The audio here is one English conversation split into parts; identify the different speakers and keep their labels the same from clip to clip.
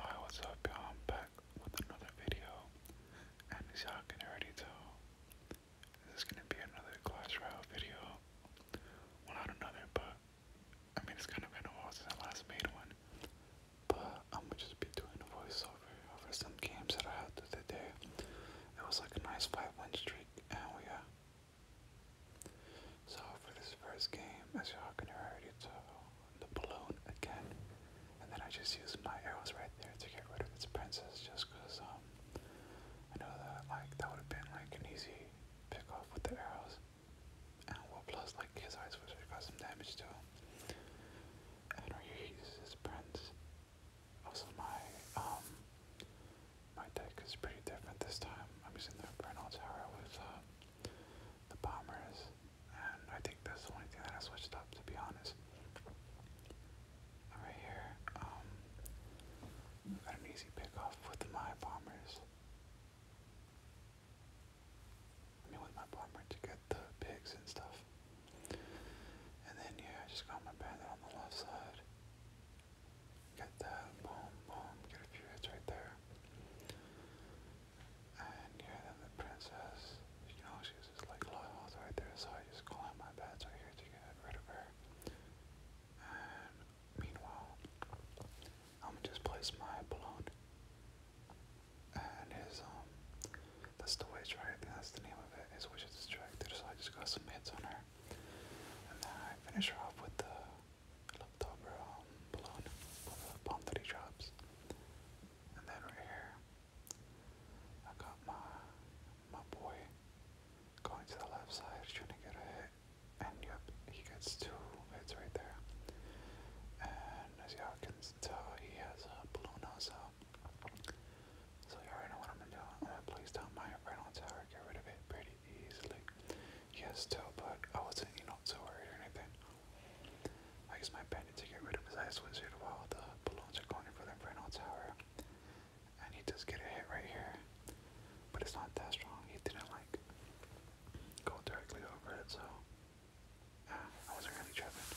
Speaker 1: Hi, what's up y'all? back with another video. And as y'all can already tell, this is gonna be another Clash Royale video. Well, not another, but I mean, it's kind of been a while since I last made one. But I'm gonna just be doing a voiceover over some games that I had the day. It was like a nice 5 win streak, and we uh, so for this first game, as y'all can already tell, the balloon again. And then I just use my arrows right there to get rid of its princess just because um I know that like that would have been like an easy pick off with the arrows. And well plus like his eyes would have got some damage too. And or he uses his prince. Also my um my deck is pretty different this time. I'm using the Bernal Tower with uh, the bombers and I think that's the only thing that I switched up, to be honest. Right here, um, an easy pickoff with my bombers. I mean, with my bomber to get the pigs and stuff. And then, yeah, I just got my bandit on the left side. Get that, boom, boom, get a few hits right there and then the princess, you know, she was just like lost right there, so I just call my bad so I here to get rid of her. And meanwhile, I'm gonna just place my balloon and his, um, that's the witch, right? that's the name of it. His witch is distracted, so I just got some hits on her. And then I finish her off with the looked over um, the bomb that he And then right here, I got my my boy going to the left side, trying to get a hit. And yep, he gets two hits right there. And as y'all can tell, he has a balloon also. So you already know what I'm gonna do. I'm gonna place down my right on tower, get rid of it pretty easily. Yes, too, but I wasn't, you know, too worried or anything. I use my bandit to get rid of his ice wizard while the balloons are going for the Inferno Tower. And he does get a hit right here. But it's not that strong. He didn't like go directly over it, so ah, I wasn't really tripping.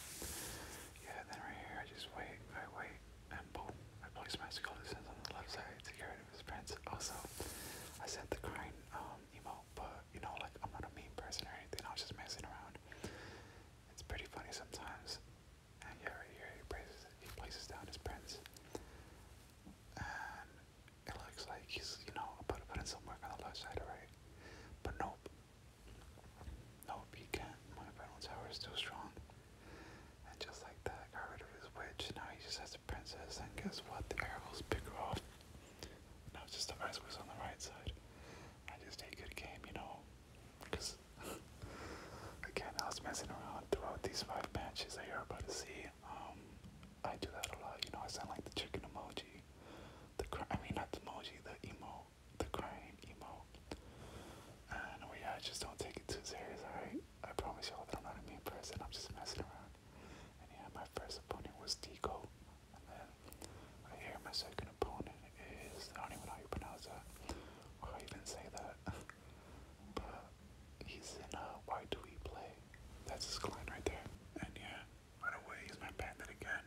Speaker 1: Yeah, then right here I just wait, I wait, and boom, I place my skull on the left side to get rid of his prince. Also, I sent the crying um emo but you know, like I'm not a mean person or anything. I was just messing around. It's pretty funny sometimes. And yeah, right here he places he places down his prince, and it looks like he's you know about put in some work on the left side, right? But nope, nope, he can't. My final tower is too strong. And just like that, got rid of his witch. Now he just has a princess, and guess what? The arrows pick her off. No, it's just the rice was on the right side. I just ate good game, you know, because again, I was messing around throughout these five matches that you're about to see. Um, I do that a lot, you know. I sound like the chicken emoji, the cry I mean, not the emoji, the emo, the crying emo. And yeah, I just don't take it too serious, alright? I promise y'all that I'm not a mean person. I'm just messing around yeah, my first opponent was Tico. And then right here, my second opponent is, I don't even know how you pronounce that, or even say that. but he's in uh, Why Do We Play? That's his clan right there. And yeah, by the he's my bandit again.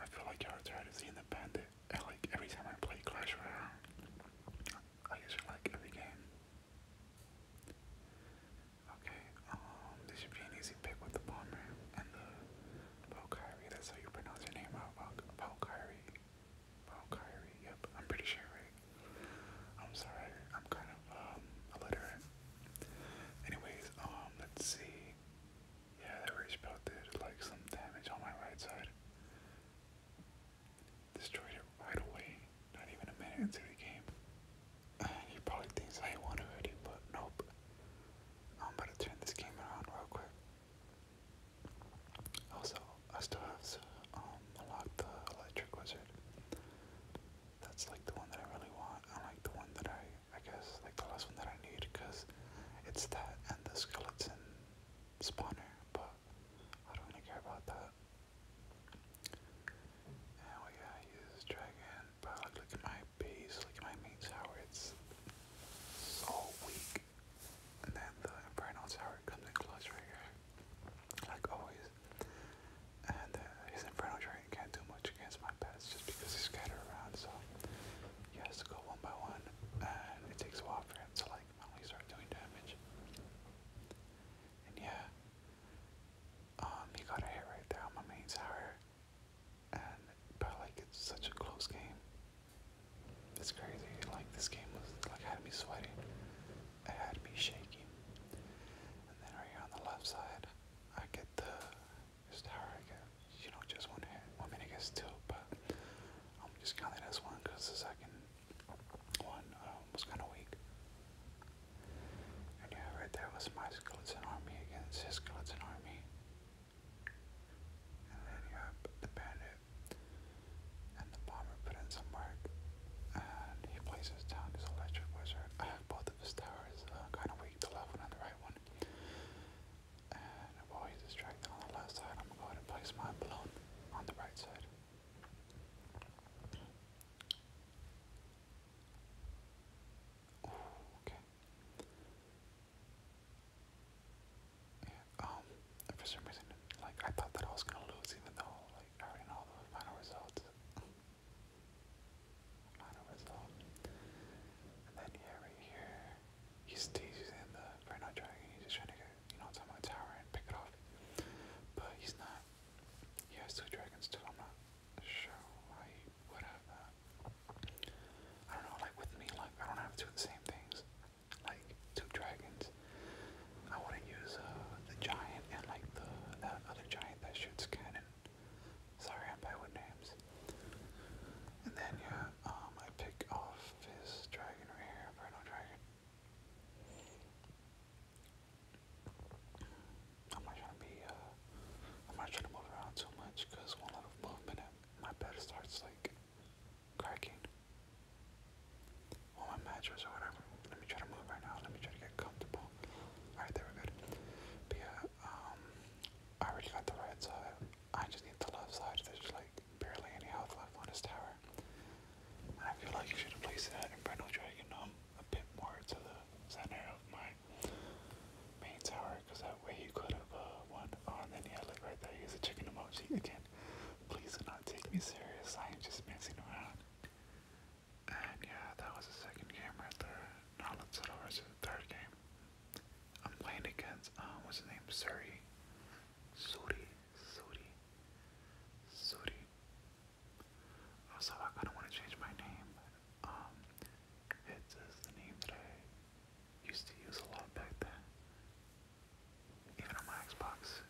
Speaker 1: I feel like y'all are tired of seeing the bandit. And like every time I play Clash Royale, I usually like every game. Okay, um, this should be an easy pick with the bomber and the Valkyrie. That's how you pronounce your name out, Valkyrie. Valkyrie, yep, I'm pretty sure, I'm sorry, I'm kind of, um, illiterate. Anyways, um, let's see. Yeah, that rage belt did, like, some damage on my right side. Destroyed it right away not even a minute into the game. he probably thinks I won already, but nope. I'm about to turn this game around real quick. Also, I still have to um, unlock the Electric Wizard. That's like the one that I really want, and like the one that I, I guess, like the last one that I need, because it's that and the skeleton spawner, but I don't really care about that. And we gotta use this dragon, but look, look at my base, look at my main tower, it's so weak. And then the Inferno Tower comes in close right here, like always. And uh, his Inferno Dragon can't do much against my pets just because he's scattered around, so he has to go one by one. And it takes a while for him to like finally start doing damage. And yeah, um, he got a hit right there on my main tower, and but like it's such a close game. It's crazy. Like this game was like had me sweating, it had me shaking. And then right here on the left side, I get the this tower. I get you know just one hit. I mean, I guess two, but I'm just counting as one because the second one um, was kind of weak. I knew right there was my skeleton army against his skeleton army. And then you have the bandit and the bomber put in some work. And he places down his electric wizard. both of his towers uh, kind of weak, the left one and the right one. And while he's distracted on the left side, I'm going to place my balloon on the right side. Um, for some reason, like, I thought that I was gonna lose even though, like, I already know the final result. final result. And then, yeah, right here, he's teasing the Burnout Dragon, he's just trying to get, you know, on top of my tower and pick it off. But he's not he has two Dragon's too. I'm not sure I would have that. I don't know, like with me, like I don't have two of the same things. Like two dragons. I wanna use a uh, the giant and like the that other giant that shoots cannon. Sorry, I'm bad with names. And then yeah, um I pick off his dragon right here, Inferno Dragon. I'm not trying to be, uh, I'm not trying to move around too much because one little movement uh, my bed starts like cracking. On my mattress or whatever. Let me try to move right now. Let me try to get comfortable. Alright, there we're But yeah, um, I already got the right side. I just need the left side. There's like barely any health left on this tower. I feel like you should have placed that Inferno Dragon um a bit more to the center of my main tower, because that way you could have uh, won. Oh, and then yeah, look right there. Here's a chicken emoji again. Please do not take me serious. I am just messing around. And yeah, that was the second game right there. Now let's head over to the third game. I'm playing against um what's the name? Suri. Suri. Suri. Suri. Also, I kind of want to change my name. Um, Hits is uh, the name that I used to use a lot back then, even on my Xbox.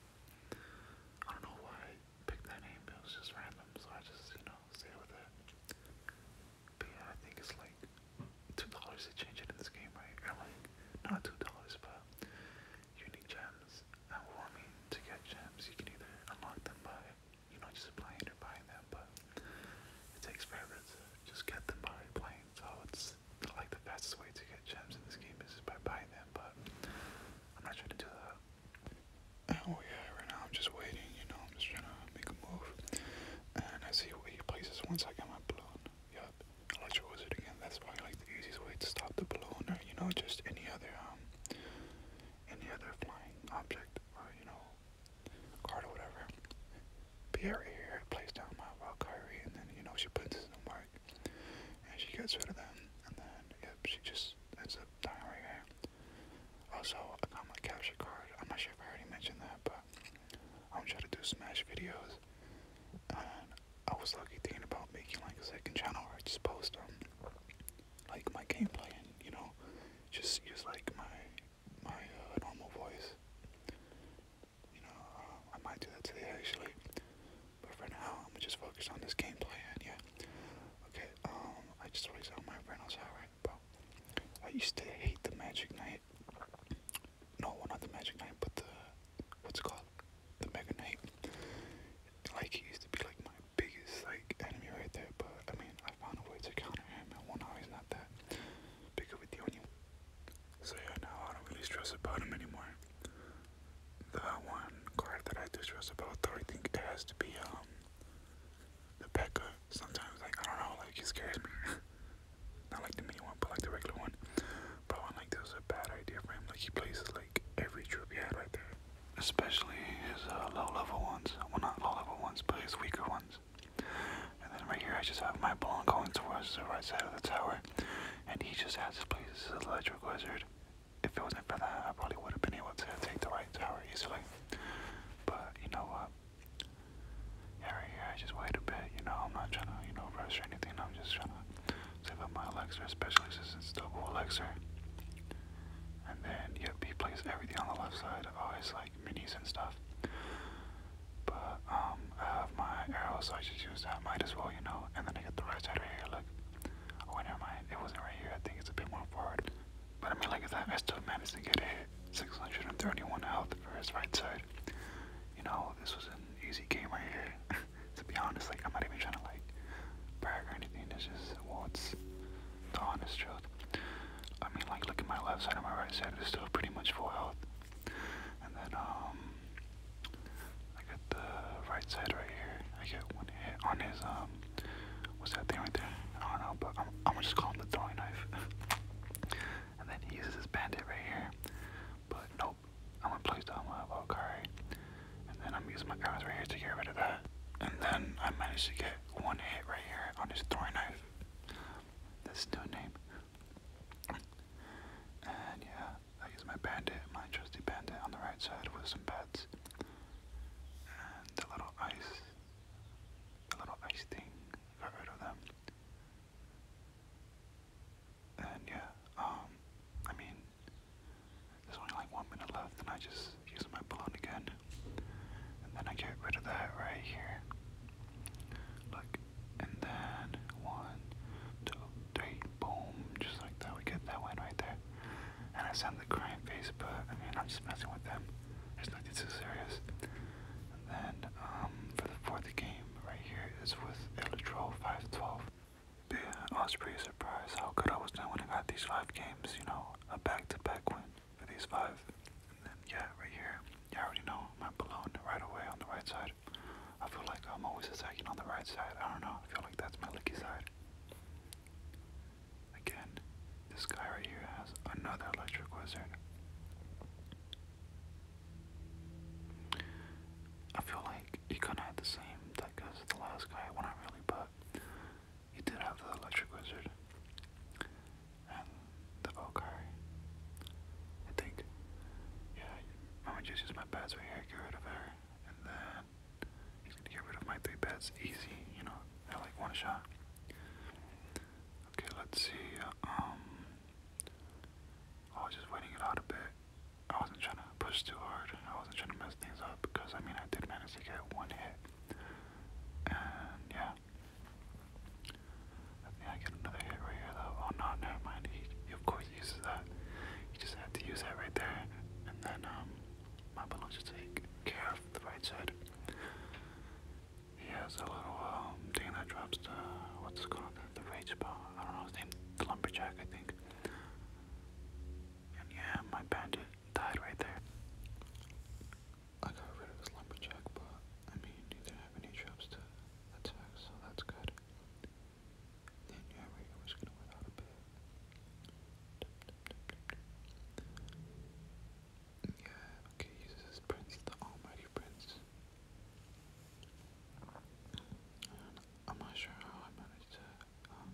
Speaker 1: I don't know why I picked that name, it was just random, so I just, you know, stayed with it. But yeah, I think it's like $2 to change it in this game, right? Or like, not $2, but you gems. I well, I mean, to get gems, you can either unlock them by, you know, just playing or buying them, but it takes forever to just get them by playing. So it's like the fastest way to get gems in this game is by buying them, but I'm not trying to do that. Oh yeah, right now I'm just waiting, you know, I'm just trying to make a move. And I see where he places once I get my balloon. Yep, Electro Wizard again, that's probably like the easiest way to stop the balloon or, you know, just any other, um, any other flying object or, you know, card or whatever. Pierre here plays down my wild Kyrie, and then, you know, she puts in some work, and she gets rid of them, and then, yep, she just ends up dying right here. Also, I got my capture card. I'm not sure if I already mentioned that, but I'm trying to do Smash videos, and I was lucky thinking about making like a second channel where I just post um like my gameplay you know just use like my my uh, normal voice. You know uh, I might do that today actually, but for now I'm just focused on this gameplay and yeah. Okay, um I just always my friend outside right, bro. I used to hate the Magic Knight. No, well, not the Magic Knight, but the what's it called? the Mega Knight. Like he used to be like my biggest like enemy right there, but I mean I found a way to counter him and well now he's not that big of a deal anymore. So yeah now I don't really stress about him anymore. The one card that I do stress about though I think it has to be um the Pekka. Sometimes like I don't know, like he scares me. not like the mini one but like the regular one. But I like this was a bad idea for him. Like he places like every troop he had right there especially his uh, low-level ones. Well, not low-level ones, but his weaker ones. And then right here, I just have my Blonk going towards the right side of the tower, and he just has to place his Electric Wizard. If it wasn't for that, I probably would have been able to take the right tower easily. But you know what? Yeah, here, I just wait a bit. You know, I'm not trying to, you know, rush or anything. I'm just trying to Save up my Elixir, especially since double Elixir. And then, yep, he plays everything on the left side, always like minis and stuff. But, um, I have my arrow, so I just use that, might as well, you know. And then I get the right side here, look. Oh, wait, never mind, it wasn't right here, I think it's a bit more forward. But I mean, like that, I still managed to get a 631 health for his right side. You know, this was an easy game right here. to be honest, like I'm not even trying to like brag or anything. It's just well, it's the honest truth. I mean, like look at my left side and my right side It's still pretty much full and then um, I got the right side right here. I get one hit on his um, what's that thing right there? I don't know, but I'm I'm gonna just call him the throwing knife. and then he uses his bandit right here, but no I'm gonna place down my Valkyrie, and then I'm using my arrows right here to get rid of that. And then I managed to get one hit right here on his throwing knife. That's no name. And yeah, I use my bandit, my trusty bandit on the right side with some bats. And a little ice, the little ice thing, got rid of them. And yeah, um, I mean, there's only like one minute left, and I just use my balloon again. And then I get rid of that right here. Look, and then one, two, three, boom, just like that. We get that one right there. And I send the crying face, but I mean, I'm just messing with them. There's nothing too serious. And then um, for the fourth game right here is with Electro 512. Big I was pretty surprised how good I was doing when I got these five games, you know, a back-to-back win for these five. And then, yeah, right here, you yeah, already know, my balloon right away on the right side. I feel like I'm always attacking on the right side. I don't know, I feel like that's my lucky side. Again, this guy right here has another electric wizard. I feel like he could of had the same deck as the last guy. Well, not really, but he did have the Electric Wizard and the Valkyrie. I think. Yeah, I'm just use my bats here, get rid of her, and then get rid of my three bats easy, you know, like one shot. Okay, let's see. Um, I oh, was just waiting it out a bit. I wasn't trying to push too hard. I wasn't trying to mess things up because I mean I did manage to get one hit, and yeah. I think I get another hit right here though. Oh no, never mind. He, of course uses that. You just have to use that right there, and then um, my balloon should take care of the right side. He has a little um thing that drops the what's it called the, the rage I don't know his name. lumberjack, I think yeah, my bandit died right there. I got rid of his lumberjack, but I mean, he have any traps to attack, so that's good. Then yeah, we're just gonna wait out a bit. Yeah, okay, uses his prince, the almighty prince. I'm not sure how I managed to um,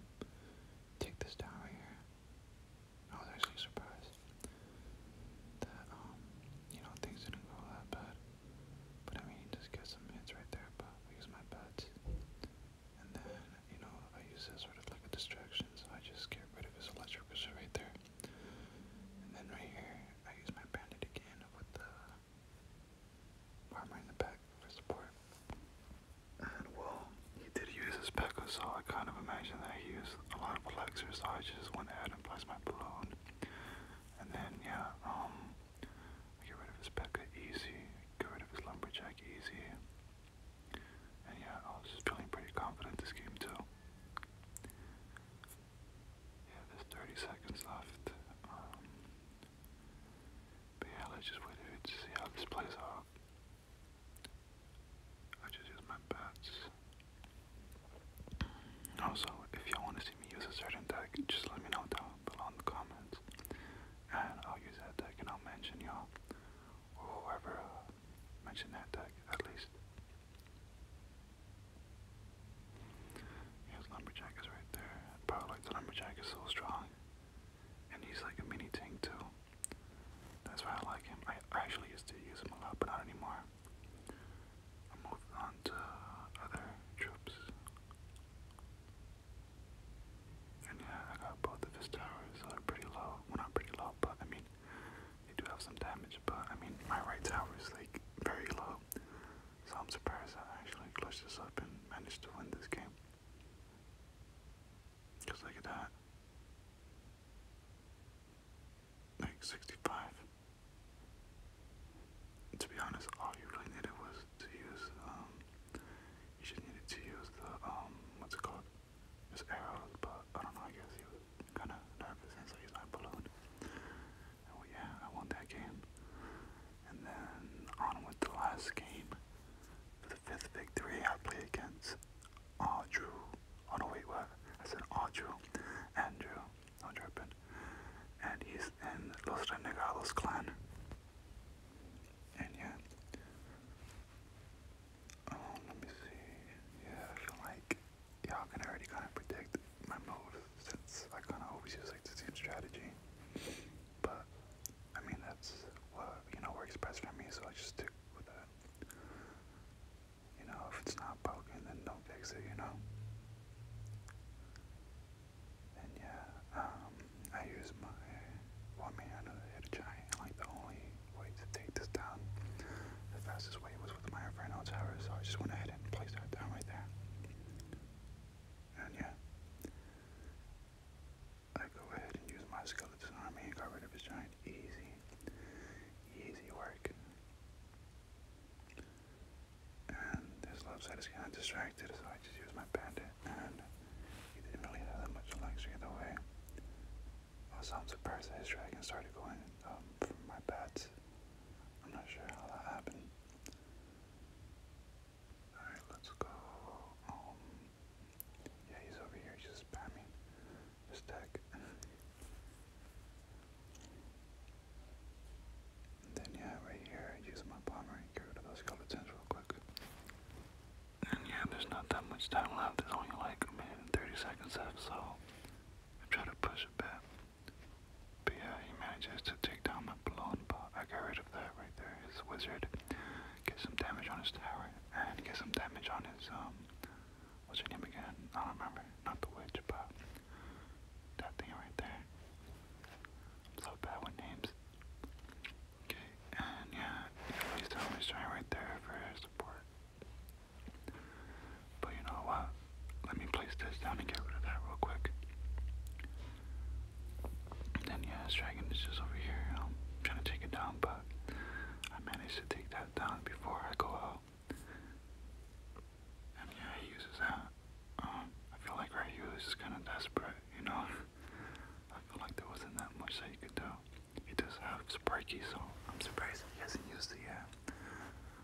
Speaker 1: take this down right here. I oh, was actually surprised that, um, you know, things didn't go that bad. But I mean, just get some hits right there, but I use my bats. And then, you know, I use this sort of like a distraction, so I just get rid of his electrical shit right there. And then right here, I use my bandit again with the armor in the back for support. And well, he did use his Pekka, so I kind of imagine that he used a lot of flexors, so I just went ahead and placed my balloon. And then, yeah, um, I get rid of his Becca easy, get rid of his Lumberjack easy. And yeah, I was just feeling pretty confident this game too. Yeah, there's 30 seconds left. Um, but yeah, let's just wait to see how this plays out. I just use my bats. Also, if y'all want to see me use a certain deck, just let me know down below in the comments. And I'll use that deck and I'll mention y'all. Or whoever uh, mentioned that deck, at least. Yes, Lumberjack is right there. Bro, the lumberjack is so strong. And he's like a mini tank too. That's why I like him. I, actually used to use him a lot, but not anymore. I moved on to other troops. And yeah, I got both of his towers are pretty low. Well, not pretty low, but I mean, they do have some damage. But I mean, my right tower is like very low. So I'm surprised I actually closed this up and managed to win this game. Because look at that. Like 65. To be honest, all you really needed was to use, um, you just needed to use the, um, what's it called? His arrows, but I don't know, I guess he was kind of nervous and so he's like balloon. And yeah, I won that game. And then on with the last game the fifth victory, I play against Audrew. Oh no, wait, what? I said Audrew. Andrew. No, Drippin. And he's in Los Renegados clan. And yeah. Um, let me see. Yeah, I feel like y'all can already kind of predict my mode since I kind of always use like the same strategy. But I mean, that's what you know works best for me, so I just stick with that. You know, if it's not broken, then don't fix it. You know. And yeah, um, I use my. Well, I mean, I know they had a giant. Like the only way to take this down, the fastest way was with my Inferno tower, so I just went ahead and placed that down right there. And yeah. I go ahead and use my skeleton army and got rid of his giant. Easy. Easy work. And this left side is kinda distracted, so I just use my bandit and he didn't really have that much luxury either way. Also I'm surprised that his dragon started going um from my bats. I'm not sure how that happened. Alright, let's go. Um, yeah, he's over here. He's just spamming his deck. And then, yeah, right here, I use my bomber and get rid of those skeletons real quick. And yeah, there's not that much time left. There's only like a minute and 30 seconds left, so I try to push it back. But yeah, he manages to take down my blonde, but I got rid of that right there, his wizard. Get some damage on his tower, and get some damage on his, um, what's your name again? I don't remember. Not the witch, but that thing right there. so bad with names. Okay, and yeah, at least trying right there for support. But you know what? Let me place this down and get rid of that real quick. And then yeah, his dragon is just over here, you know, trying to take it down, but I managed to take that down before I go out. And yeah, he uses that. Um, I feel like right here is kind of desperate, you know. I feel like there wasn't that much that he could do. He does have Sparky, so I'm surprised he hasn't used it yet.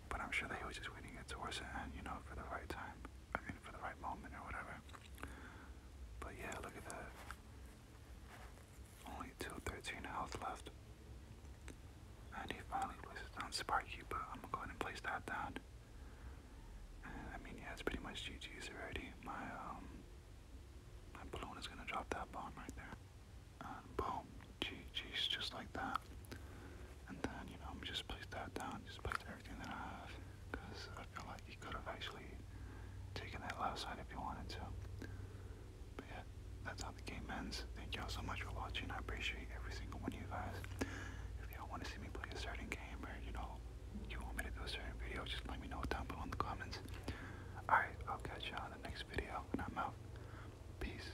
Speaker 1: But I'm sure that he was just waiting it towards the end, you know, for the right time. I mean, for the right moment or whatever. But yeah, look at that. Only 213 health left. And he finally places down Sparky, but I'm gonna go ahead and place that down. I mean, yeah, it's pretty much GG's already. My, um, my balloon is gonna drop that bomb right there. And boom, GG's just like that. And then, you know, I'm just place that down, just place everything that I have. Because I feel like he could have actually taken that left side if he wanted to. But yeah, that's how the game ends. Thank y'all so much for watching. I appreciate every single one of you guys. If y'all want to see me play a certain game or, you know, you want me to do a certain video, just let me know down below in the comments. Alright, I'll catch y'all in the next video, and I'm out. Peace.